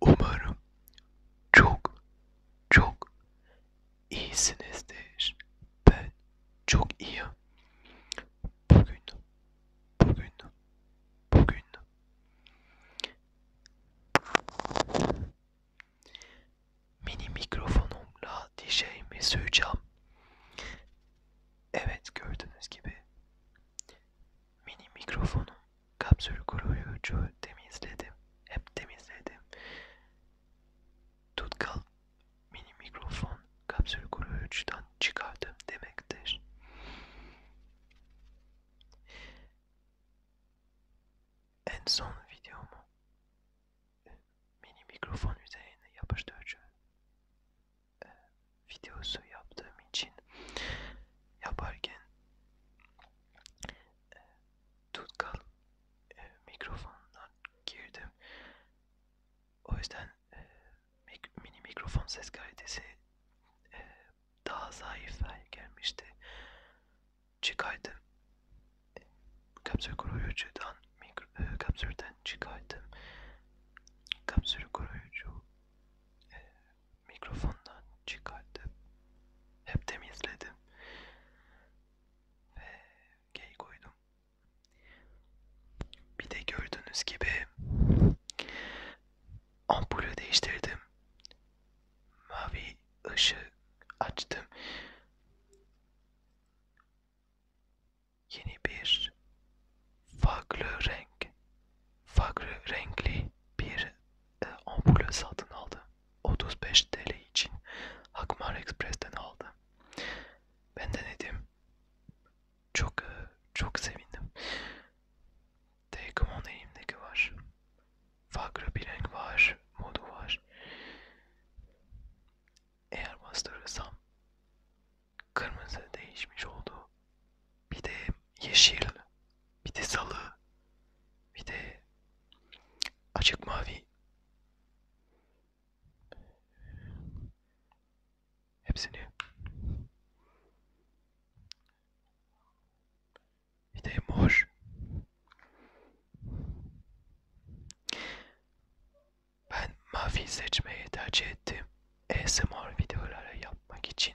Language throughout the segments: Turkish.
Umarım çok çok iyisinizdir. Ben çok iyiyim. Bugün, bugün, bugün mini mikrofonumla dişeğimi söyleyeceğim. Evet gördüğünüz gibi mini mikrofonum Kapsül kuruyucu temizledim. Hep temizledim. Tutkal mini mikrofon kapsül kuruyucudan çıkardım demektir. En son videomu mini mikrofon üzerine yapıştırıcı ee, videosu yaptığım için yaparken e, tutkal e, mikrofondan girdim. O yüzden e, mik mini mikrofon ses kalitesi e, daha zayıf hale gelmişti. Çıkardım. E, kapsül koruyucudan mikro, e, kapsülden çıkardım. Kapsül koruyucu e, mikrofondan çıkardım. Hep temizledim. Ve gay koydum. Bir de gördüğünüz gibi ampulü değiştirdim. Mavi ışığı açtım. Yeni bir farklı renk, farklı renkli bir e, ampulü satın aldı. 35 TL için Hakmar Express'ten aldı. Ben denedim. Çok e, çok sevindim. Taycom'un elimdeki var. Farklı bir renk var, modu var. Eğer bastırırsam kırmızı değişmiş oldu. Bir de yeşil, bir de salı, bir de açık mavi. Hepsini. Bir de mor. Ben mavi seçmeyi tercih ettim. ASMR videoları yapmak için.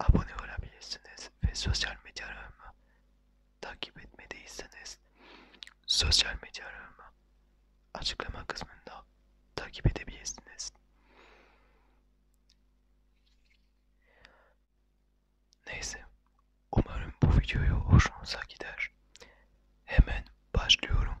abone olabilirsiniz ve sosyal medyalarımı takip etmediyseniz sosyal medyalarımı açıklama kısmında takip edebilirsiniz. Neyse, umarım bu videoyu hoşunuza gider. Hemen başlıyorum.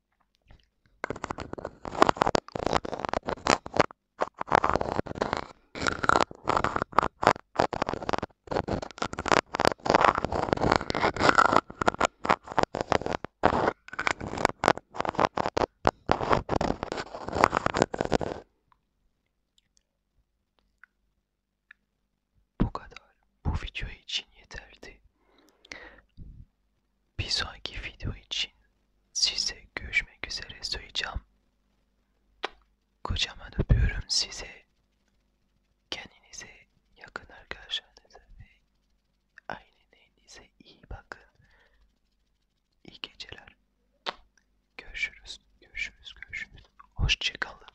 Bu kadar. Bu video için yeterdi. Bir sonraki video için size görüşmek üzere söyleyeceğim. Kocaman öpüyorum size. Kendinize yakın arkadaşlarınıza ve ailenize iyi bakın. İyi geceler. Görüşürüz, görüşürüz, görüşürüz. Hoşçakalın.